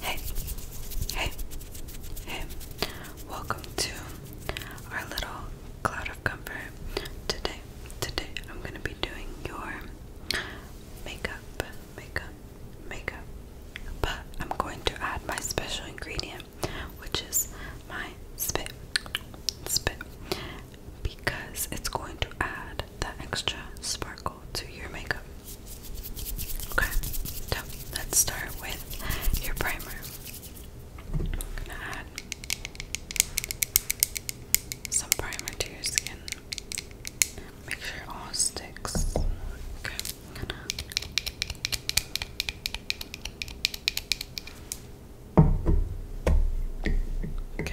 Hey, hey, hey, welcome to our little cloud of comfort. Today, today, I'm going to be doing your makeup, makeup, makeup. But I'm going to add my special ingredient, which is my spit, spit, because it's going to add that extra sparkle to your makeup. Okay, so let's start with your primer. I'm gonna add some primer to your skin. Make sure it all sticks. Okay, Okay,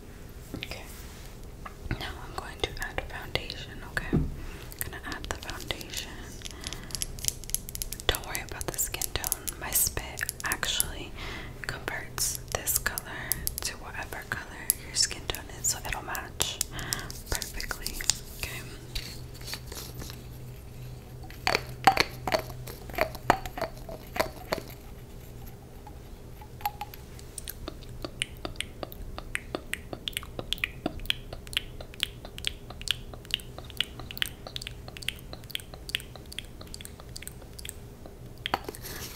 Okay. Now I'm going to add foundation, okay? gonna add the foundation. Don't worry about the skin tone. My spit actually converts this color to whatever color your skin tone is, so it'll match perfectly. Okay.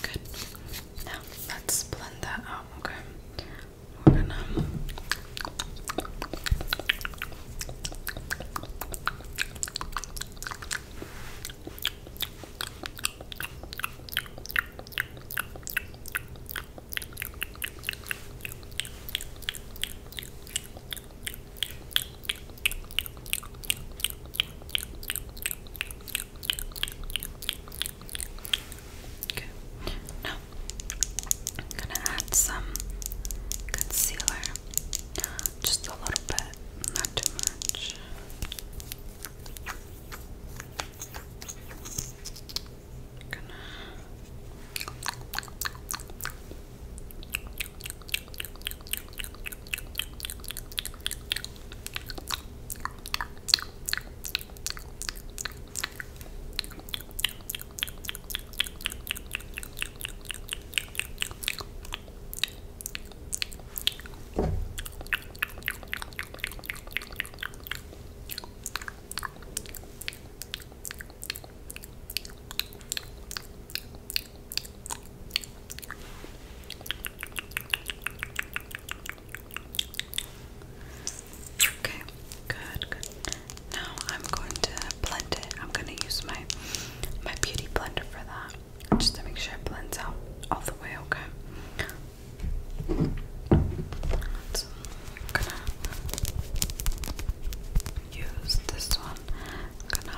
Good. Now let's blend that out, okay? We're gonna Okay. Now I'm gonna add some concealer. Just a little bit, not too much. Okay, good, good. Now I'm going to blend it. I'm going to use my my beauty blender for that just to make sure it blends out all the way, okay? I'm gonna use this one. gonna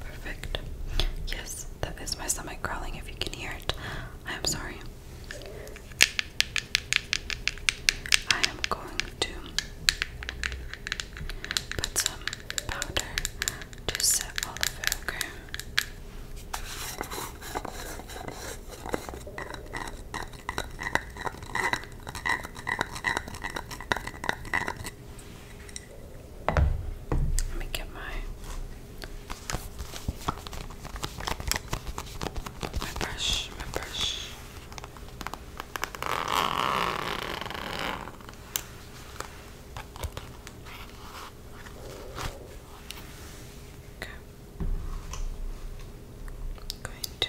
Perfect. Yes, that is my stomach growling if you can hear it. I am sorry. I am going to put some powder to set all of let me get my my brush, my brush. Okay. I'm going to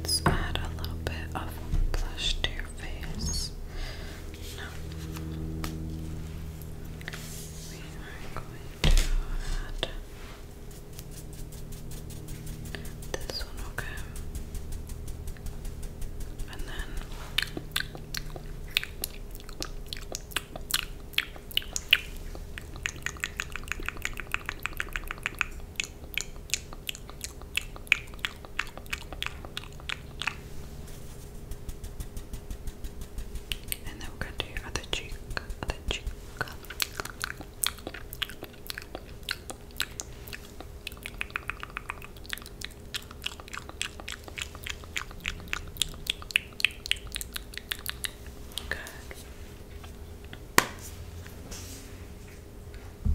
Let's add a little bit of blush to your face. No. We are going to add this one, okay? And then and then we're going to do other cheek, other cheek.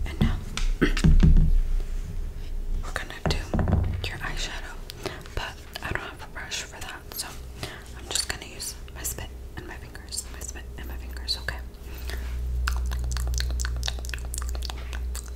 And now we're gonna do your eyeshadow, but I don't have a brush for that, so I'm just gonna use my spit and my fingers, my spit and my fingers, okay?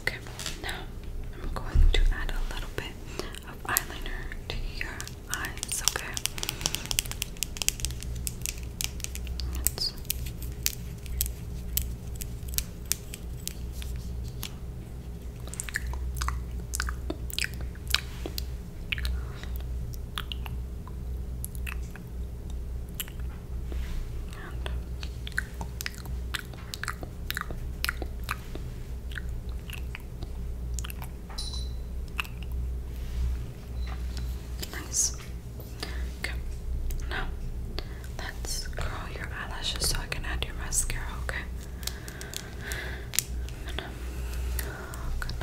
Okay, now I'm going to add a little bit of eyeliner to your eyes, okay? Nice. Okay. Now, let's curl your eyelashes so I can add your mascara, okay? gonna, gonna curl.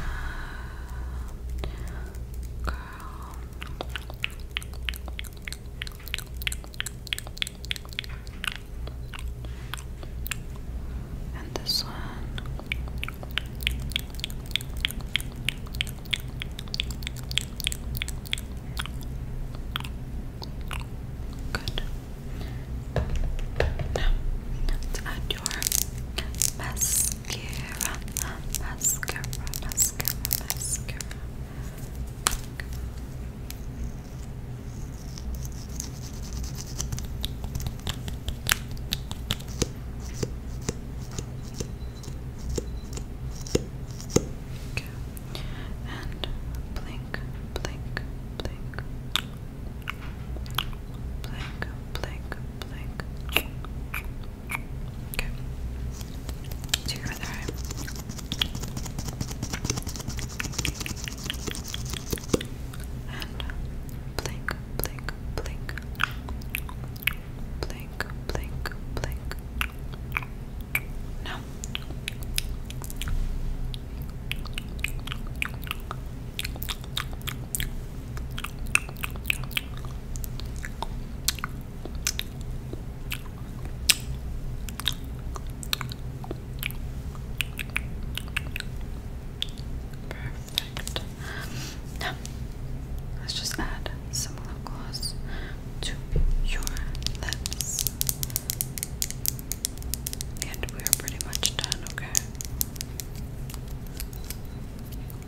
And this one. Good. Now, add your mascara. Mascara, mascara, mascara. Okay. And blink, blink, blink. Blink, blink, blink. Okay to your blink, blink, blink. Blink, blink, blink. No. Perfect. Now, let's just add some lip gloss to your lips. And we are pretty much done, okay?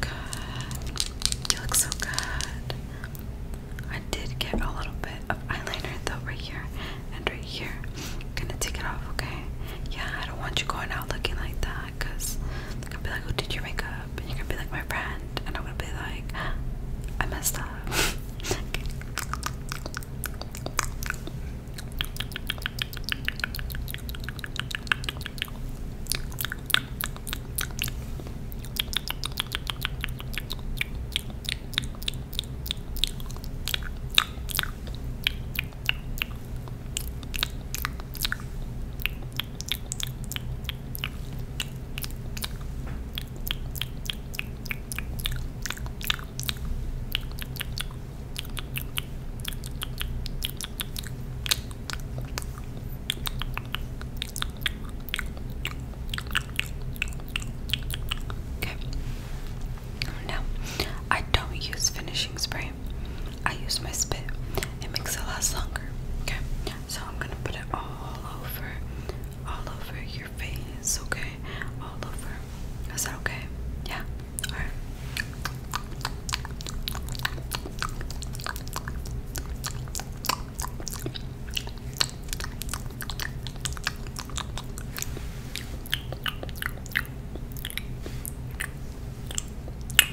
Good. You look so good. I did get a little bit of eyeliner though right here and right here. I'm gonna take it off, okay? Yeah, I don't want you going out looking like that because i could be like, who oh, did your makeup? up you're be like my friend and I'm be like I messed up Okay. Now, I don't use finishing spray. I use my spit. It makes it last longer. Okay. So I'm gonna put it all over, all over your face, okay? All over. Is that okay? Yeah? Alright.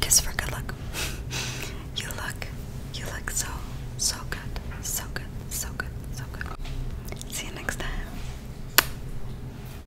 Kiss for good luck. you look, you look so, so good, so good, so good, so good. See you next time.